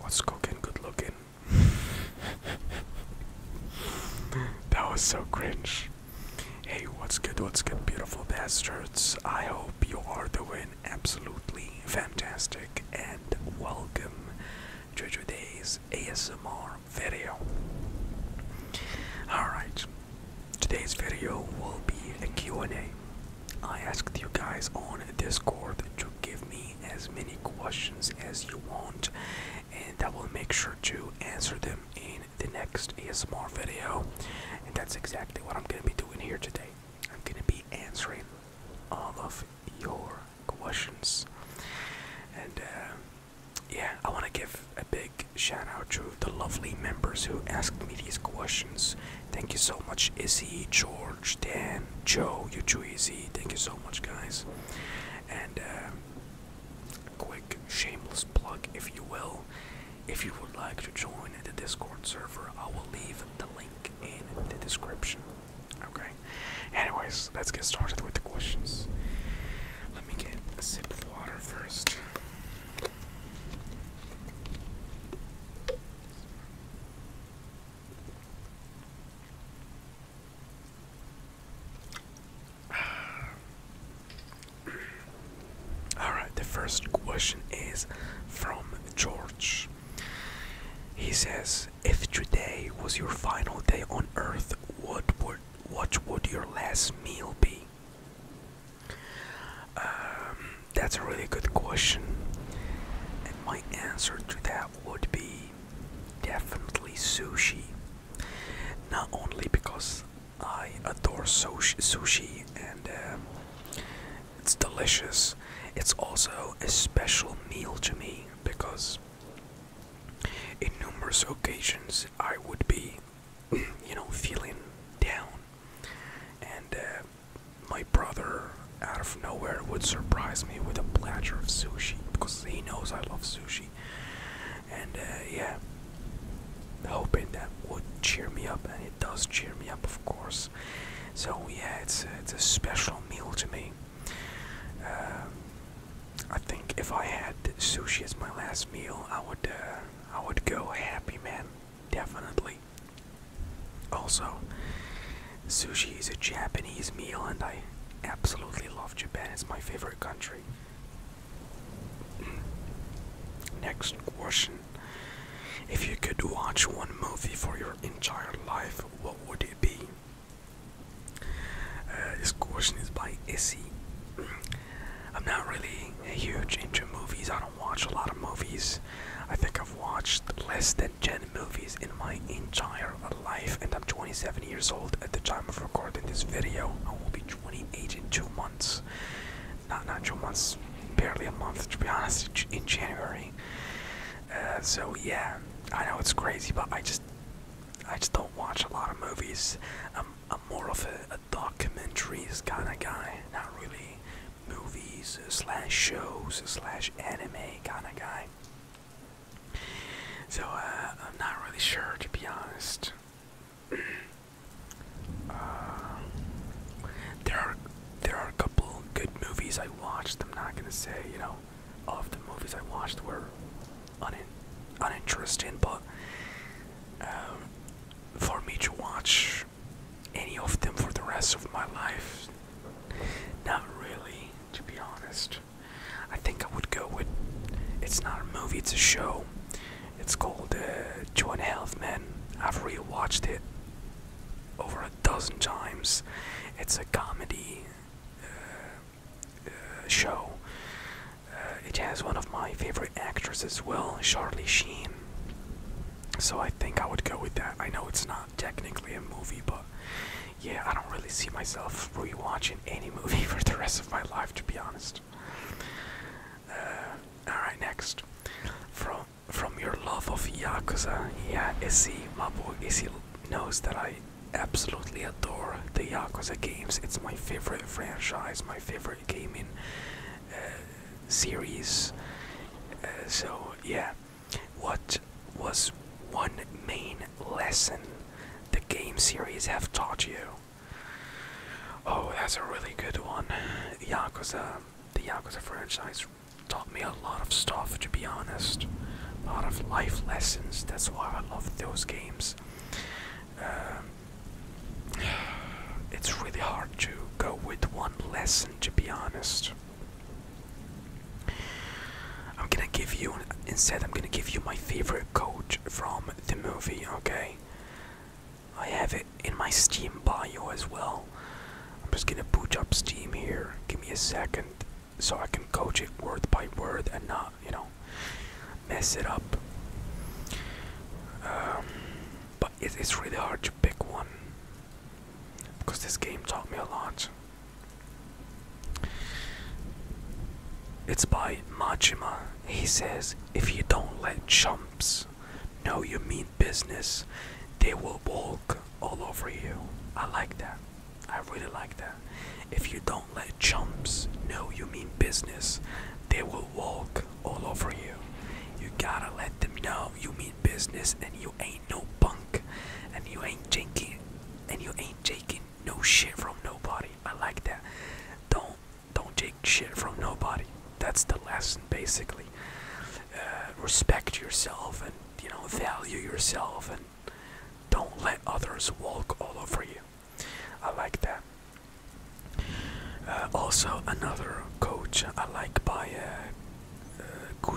What's cooking? Good looking. that was so cringe. Hey, what's good? What's good, beautiful bastards? I hope you are doing absolutely fantastic and welcome to today's ASMR video. Alright, today's video will be a Q&A. I asked you guys on Discord to give me as many questions as you want and I will make sure to answer them in the next ASMR video. And that's exactly what I'm going to be doing here today. I'm going to be answering all of your questions. And uh, yeah, I want to give a big shout out to the lovely members who asked me these questions. Thank you so much, Izzy, George, Dan, Joe, you too, Izzy. Thank you so much, guys. And uh, quick shameless plug, if you will. If you would like to join the Discord server, I will leave the link in the description. Okay. Anyways, let's get started with the questions. Let me get a sip of water first. Alright, the first question is from George. He says, if today was your final day on earth, what would what would your last meal be? Um, that's a really good question, and my answer to that would be definitely sushi. Not only because I adore sushi and uh, it's delicious, it's also a special meal to me because in numerous occasions, I would be, you know, feeling down, and uh, my brother, out of nowhere, would surprise me with a platter of sushi because he knows I love sushi, and uh, yeah, hoping that would cheer me up, and it does cheer me up, of course. So yeah, it's uh, it's a special meal to me. Um, I think if I had sushi as my last meal, I would uh, I would go happy, man. Definitely. Also, sushi is a Japanese meal, and I absolutely love Japan. It's my favorite country. Next question: If you could watch one movie for your entire life, what would it be? this question is by Issy. I'm not really a huge into movies. I don't watch a lot of movies. I think I've watched less than 10 movies in my entire life, and I'm 27 years old at the time of recording this video. I will be 28 in two months. Not two months, barely a month to be honest. In January. Uh, so yeah, I know it's crazy, but I just I just don't watch a lot of movies. I'm, more of a, a documentaries kind of guy, not really movies uh, slash shows uh, slash anime kind of guy. So uh, I'm not really sure to be honest. there are there are a couple good movies I watched. I'm not gonna say you know of the movies I watched were un uninteresting, but um, for me to watch any of them for the rest of my life, not really, to be honest. I think I would go with it's not a movie, it's a show. It's called uh, Two and a Half Men. I've rewatched it over a dozen times. It's a comedy. Uh, uh, show. Uh, it has one of my favorite actors as well, Charlie Sheen. So I think I would go with that. I know it's not technically a movie, but yeah, I don't really see myself rewatching any movie for the rest of my life, to be honest. Uh, all right, next from from your love of Yakuza, yeah, Izzy, my boy Izzy knows that I absolutely adore the Yakuza games. It's my favorite franchise, my favorite gaming uh, series. Uh, so yeah, what was one main lesson the game series have taught you? Oh, that's a really good one. Yakuza, the Yakuza franchise taught me a lot of stuff, to be honest a lot of life lessons. That's why I love those games. Um, it's really hard to go with one lesson, to be honest. I'm gonna give you, instead, I'm gonna give you my favorite quote from the movie, okay? I have it in my Steam bio as well. I'm just gonna boot up Steam here. Give me a second so I can coach it word by word and not, you know, mess it up. Um, but it's really hard to pick one because this game taught me a lot. It's by Majima. He says, If you don't let chumps know you mean business, they will walk all over you. I like that. I really like that. If you don't let chumps know you mean business, they will walk all over you. You gotta let them know you mean business and you ain't no punk and you ain't jinking and you ain't taking no shit from nobody. I like that. Don't don't take shit from nobody. That's the lesson basically. Uh, respect yourself and you know value yourself and don't let others walk all over you. I like that. Uh, also, another coach I like by uh, uh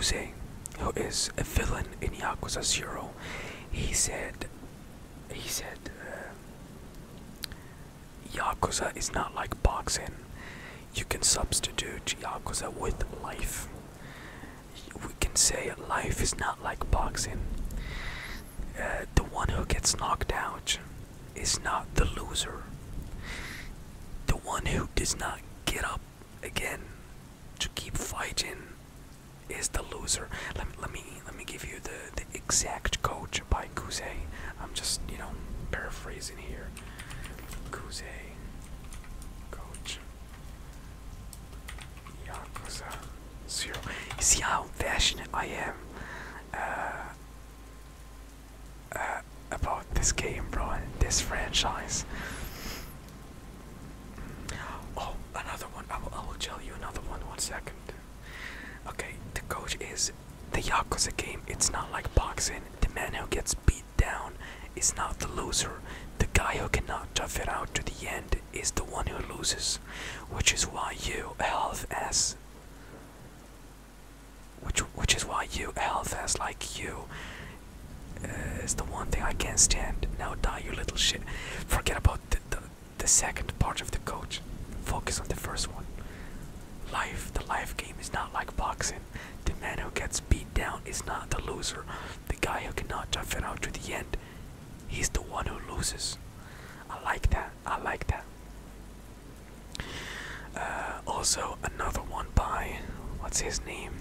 who is a villain in Yakuza Zero. He said, he said, uh, Yakuza is not like boxing. You can substitute Yakuza with life we can say life is not like boxing. Uh, the one who gets knocked out is not the loser. The one who does not get up again to keep fighting is the loser. Let me let me give you the the exact quote by Kuze. I'm just you know paraphrasing here. Kuze, coach. Yakuza Zero. You see how passionate I am uh, uh, about this game, bro, and this franchise. Oh, another one. I will tell you another one. One second. Okay, the coach is the Yakuza game. It's not like boxing. The man who gets beat down is not the loser. The guy who cannot tough it out to the end is the one who loses, which is why you, LFS, which which is why you, LFS, like you, uh, is the one thing I can't stand. Now die, you little shit. Forget about the the second part of the coach. Focus on the first one. Life, the life game is not like boxing. The man who gets beat down is not the loser. The guy who cannot tough it out to the end He's the one who loses. I like that. I like that. Uh, also, another one by what's his name?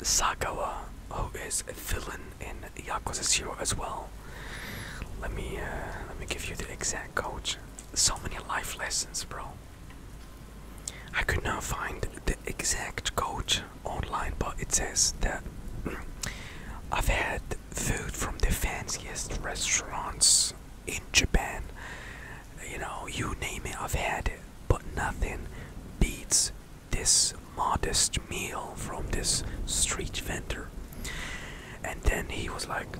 Sagawa, who is a villain in Yakuza Zero as well. Let me uh, let me give you the exact code. So many life lessons, bro. I could not find the exact code online, but it says that mm, I've had food from the fanciest restaurants in Japan. You know, you name it, I've had it, but nothing beats this modest meal from this street vendor. And then he was like,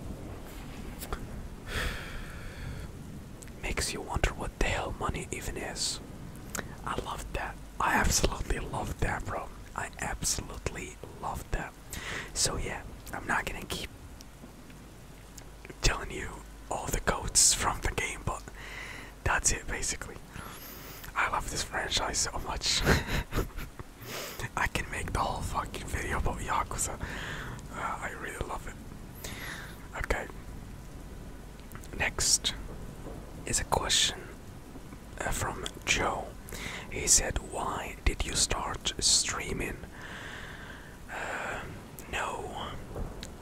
makes you wonder what the hell money even is. I loved that. I absolutely love that, bro. I absolutely love that. So yeah, I'm not gonna keep telling you all the codes from the game, but that's it basically. I love this franchise so much. I can make the whole fucking video about Yakuza. Uh, I really love it. Okay. Next is a question uh, from Joe. He said, Why did you start streaming? Uh, no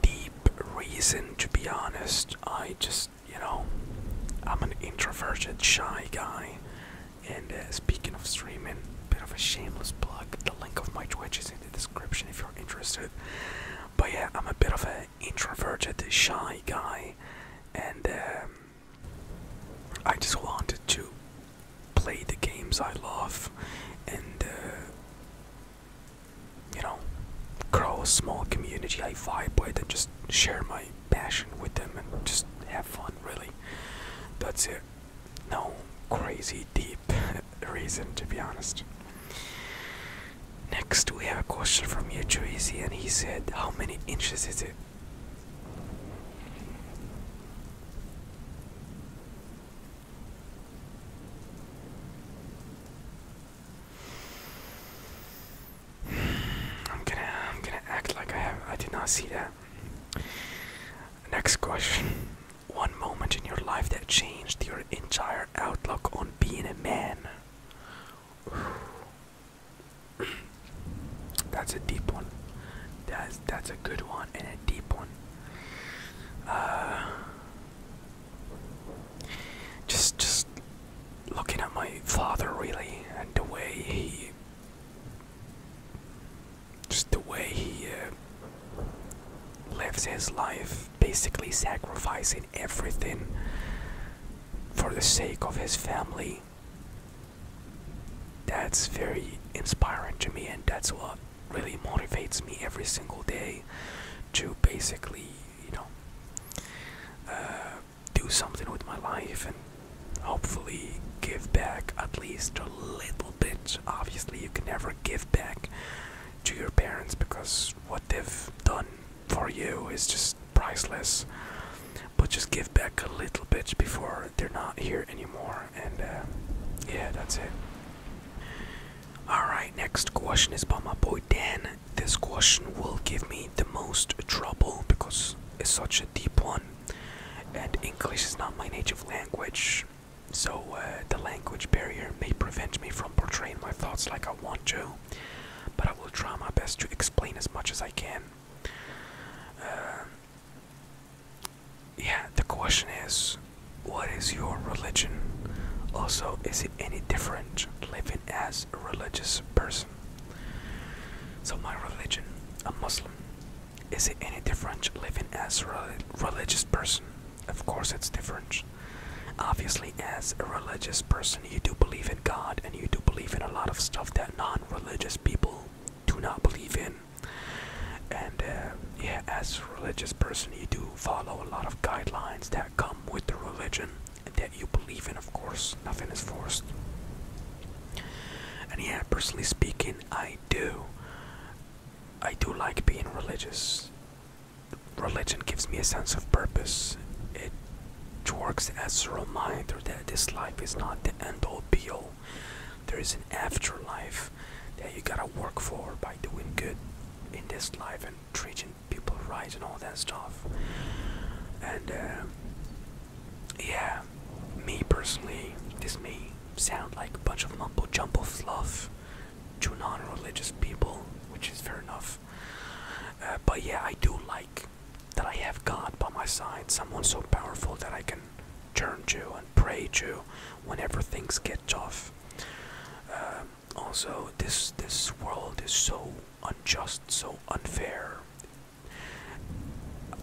deep reason, to be honest. I just, you know, I'm an introverted, shy guy. And uh, speaking of streaming, bit of a shameless plug. The link of my Twitch is in the description if you're interested. But yeah, I'm a bit of an introverted, shy guy and um, I just wanted to play the games I love, and uh, you know, grow a small community I vibe with, and just share my passion with them, and just have fun. Really, that's it. No crazy deep reason, to be honest. Next, we have a question from Yuchurizi, and he said, How many inches is it? I'm gonna I'm gonna act like I have I did not see that. Next question. One moment in your life that changed your entire outlook on being a man. that's a deep one. That's that's a good one and a deep one. Uh, just just looking at my father really and the way he just the way he uh, lives his life basically sacrificing everything for the sake of his family. That's very inspiring to me, and that's what really motivates me every single day to basically, you know, uh, do something with my life and hopefully give back at least a little bit. Obviously, you can never give back to your parents because what they've done for you is just priceless. But just give back a little bit before they're not here anymore. And uh, yeah, that's it. Alright, next question is by my boy Dan. This question will give me the most trouble because it's such a deep one. And English is not my native language. So uh, the language barrier may prevent me from portraying my thoughts like I want to but I will try my best to explain as much as I can. Uh, yeah, the question is, what is your religion? Also, is it any different living as a religious person? So, my religion, a Muslim, is it any different living as a religious person? Of course, it's different. Obviously, as a religious person, you do believe in God and you do believe in a lot of stuff that non religious people do not believe in. And uh, yeah, as a religious person, you do follow a lot of guidelines that come with the religion that you believe in, of course. Nothing is forced. And yeah, personally speaking, I do. I do like being religious religion gives me a sense of purpose. It works as a reminder that this life is not the end all be all. There is an afterlife that you gotta work for by doing good in this life and treating people right and all that stuff. And uh, yeah, me personally, this may sound like a bunch of mumbo jumbo fluff to non religious people, which is fair enough. Uh, but yeah, I do like that I have God by my side, someone so powerful that I can turn to and pray to whenever things get tough. Uh, also, this this world is so unjust, so unfair.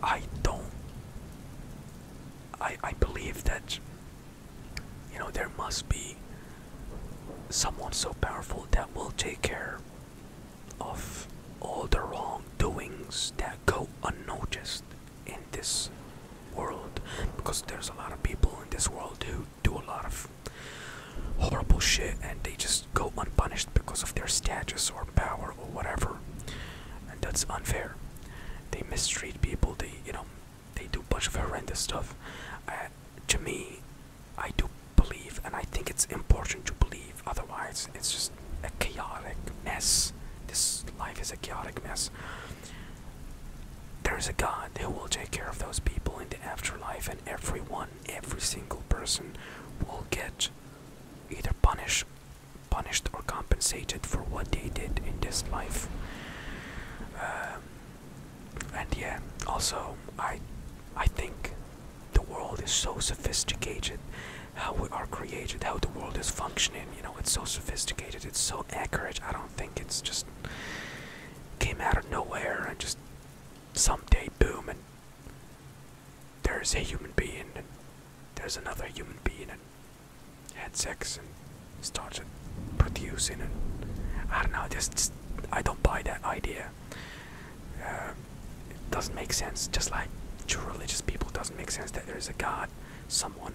I don't. I I believe that. You know there must be someone so powerful that will take care of all the wrongdoings that go unnoticed in this world because there's a lot of people in this world who do a lot of horrible shit and they just go unpunished because of their status or power or whatever and that's unfair they mistreat people they you know they do a bunch of horrendous stuff uh, to me I do believe, and I think it's important to believe, otherwise, it's just a chaotic mess. This life is a chaotic mess. There is a God who will take care of those people in the afterlife, and everyone, every single person, will get either punished, punished or compensated for what they did in this life. Um, and yeah, also I, I think the world is so sophisticated how we are created how the world is functioning you know it's so sophisticated it's so accurate i don't think it's just came out of nowhere and just some day boom and there's a human being and there's another human being and had sex and started producing and i don't know just, just i don't buy that idea it uh, doesn't make sense just like to religious people it doesn't make sense that there is a god someone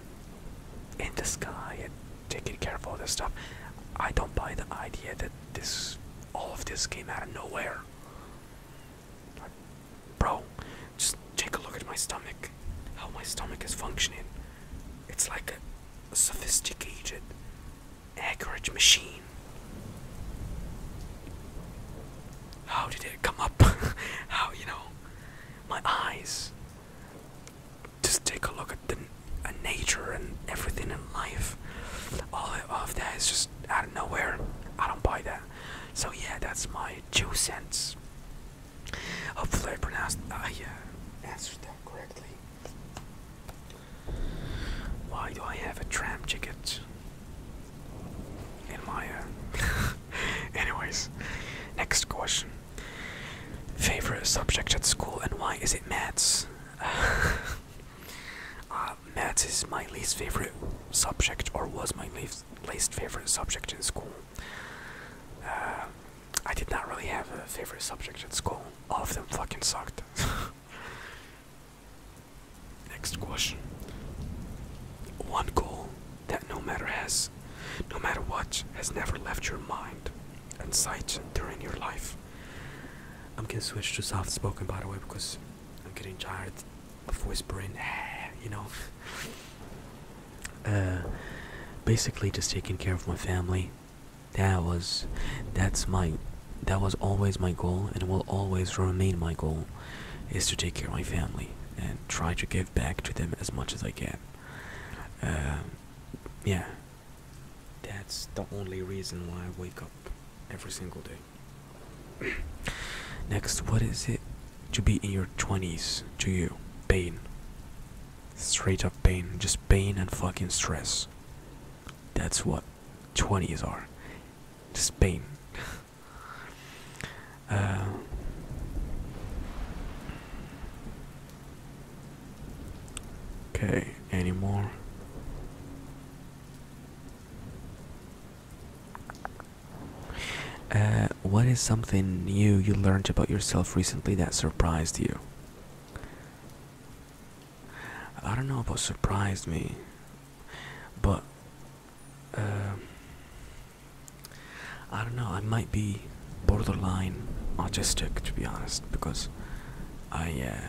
in the sky taking care of all this stuff i don't buy the idea that this all of this came out of nowhere bro just take a look at my stomach how my stomach is functioning it's like a sophisticated Acreage machine. How did it come up? How, you know, my eyes. Just take a look at the nature and everything in life. All of that is just out of nowhere. I don't buy that. So yeah, that's my two cents. Hopefully I pronounced, I uh, yeah. answered that correctly. Why do I have a tram ticket in my? Uh, anyways, next question. Favorite subject at school and why is it maths? Uh, maths is my least favorite subject, or was my least least favorite subject in school. Uh, I did not really have a favorite subject at school. All of them fucking sucked. Next question. One goal that no matter has no matter what has never left your mind and sight during your life. I'm gonna switch to soft spoken by the way because I'm getting tired of whispering ah, you know. Uh, basically just taking care of my family that was that's my that was always my goal and will always remain my goal is to take care of my family and try to give back to them as much as I can. Uh, yeah, that's the only reason why I wake up every single day. Next, what is it to be in your 20s to you? Pain. Straight up pain. Just pain and fucking stress. That's what 20s are Spain. uh, okay, any more? Uh, what is something new you learned about yourself recently that surprised you? I don't know about surprised me, but uh, I don't know. I might be borderline autistic, to be honest, because I uh,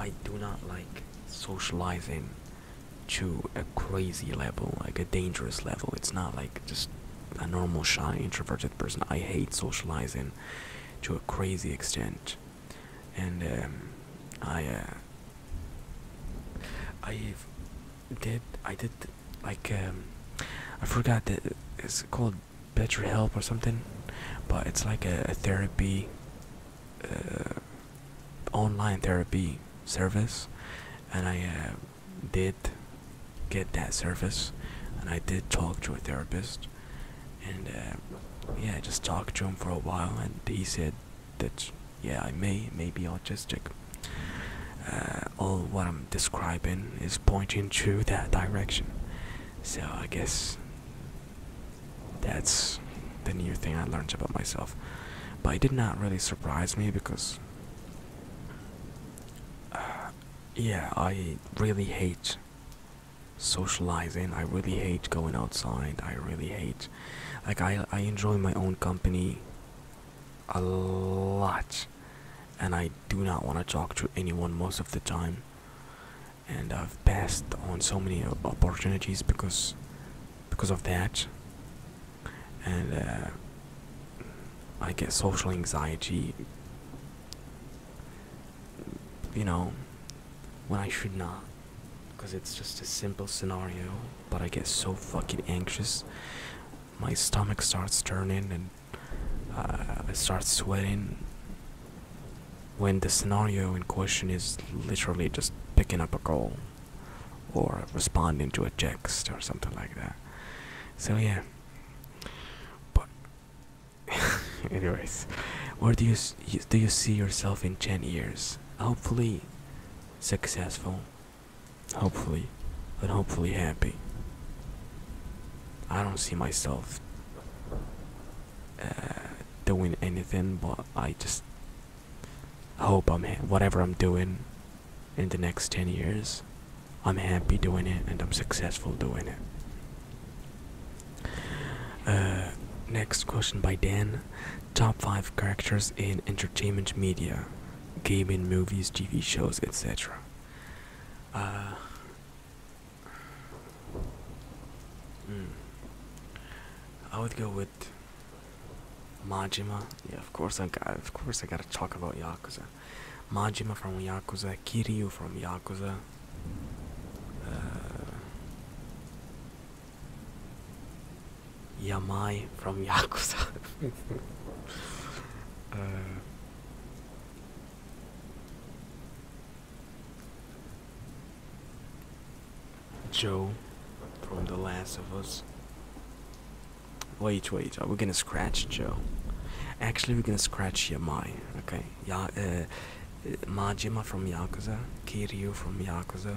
I do not like socializing to a crazy level, like a dangerous level. It's not like just a normal shy introverted person. I hate socializing to a crazy extent, and um, I, uh, I did, I did like um, I forgot that it's called Better Help or something, but it's like a, therapy, uh, online therapy service, and I uh, did get that service and i did talk to a therapist and uh, yeah i just talked to him for a while and he said that yeah i may may be autistic uh, all what i'm describing is pointing to that direction so i guess that's the new thing i learned about myself but it did not really surprise me because uh, yeah i really hate socializing i really hate going outside i really hate like i i enjoy my own company a lot and i do not want to talk to anyone most of the time and i've passed on so many opportunities because because of that and uh, i get social anxiety you know, when I should not. Because it's just a simple scenario, but I get so fucking anxious. My stomach starts turning and uh, I start sweating. When the scenario in question is literally just picking up a call or responding to a text or something like that. So, yeah. But Anyways, where do you do you see yourself in ten years? Hopefully, successful. Hopefully, but hopefully happy. I don't see myself uh, doing anything, but I just hope I'm whatever I'm doing in the next ten years. I'm happy doing it and I'm successful doing it. Uh, next question by Dan Top 5 characters in entertainment media, gaming, movies, TV shows, etc. Uh, hmm. I would go with. Majima, yeah, of course I got, of course I gotta talk about Yakuza. Majima from Yakuza, Kiryu from Yakuza. Uh, Yamai from Yakuza. Uh, Joe from The Last of Us. Wait, wait, are we gonna scratch Joe? Actually, we're gonna scratch Yamai, okay? Ya Majima from Yakuza, Kiryu from Yakuza,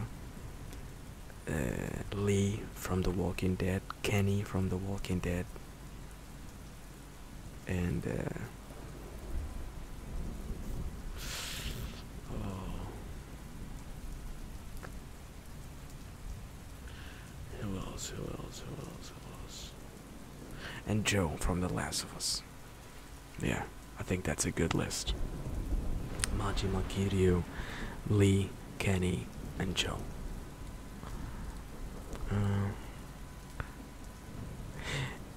Lee from The Walking Dead, Kenny from The Walking Dead, and oh. who else? Who else? Who else? Who else? and Joe from The Last of Us. Yeah, I think that's a good list. Majima Kiryu, Lee, Kenny, and Joe. Uh,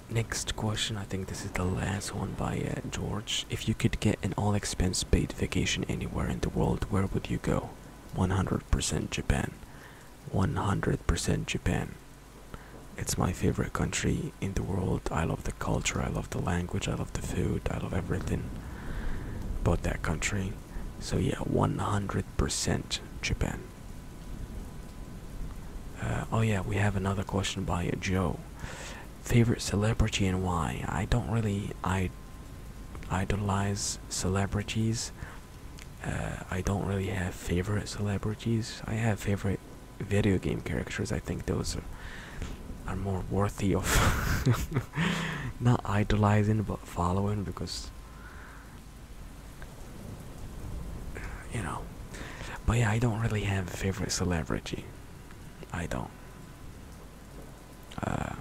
next question, I think this is the last one by uh, George. If you could get an all expense paid vacation anywhere in the world, where would you go? 100% Japan. 100% Japan. It's my favorite country in the world. I love the culture, I love the language, I love the food, I love everything about that country. So, yeah, 100% Japan. Uh, oh, yeah, we have another question by Joe. Favorite celebrity and why? I don't really I idolize celebrities. Uh, I don't really have favorite celebrities. I have favorite video game characters. I think those are, more worthy of not idolizing but following because you know. But yeah, I don't really have a favorite celebrity. I don't. Uh,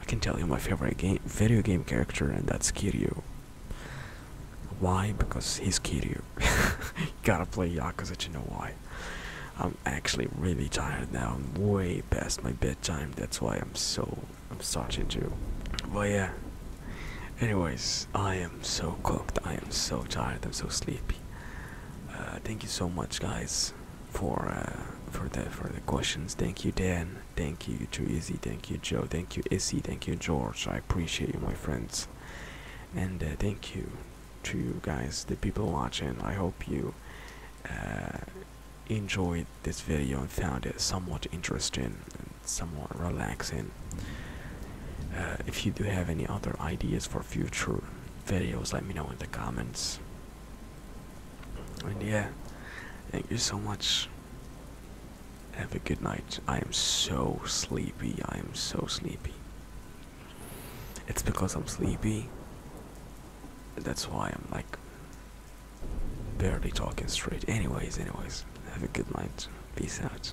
I can tell you my favorite game, video game character, and that's Kiryu. Why? Because he's Kiryu. you gotta play Yakuza You know why. I'm actually really tired now. I'm way past my bedtime. That's why I'm so I'm starting to. But yeah. Anyways, I am so cooked. I am so tired. I'm so sleepy. Uh, thank you so much, guys, for uh, for the for the questions. Thank you, Dan. Thank you to easy. thank you Joe, thank you Izzy, thank you George. I appreciate you, my friends, and uh, thank you to you guys, the people watching. I hope you uh, enjoyed this video and found it somewhat interesting and somewhat relaxing. Uh, if you do have any other ideas for future videos, let me know in the comments. And yeah, thank you so much. Have a good night. I am so sleepy. I am so sleepy. It's because I'm sleepy. That's why I'm like barely talking straight. Anyways, anyways, have a good night. Peace out.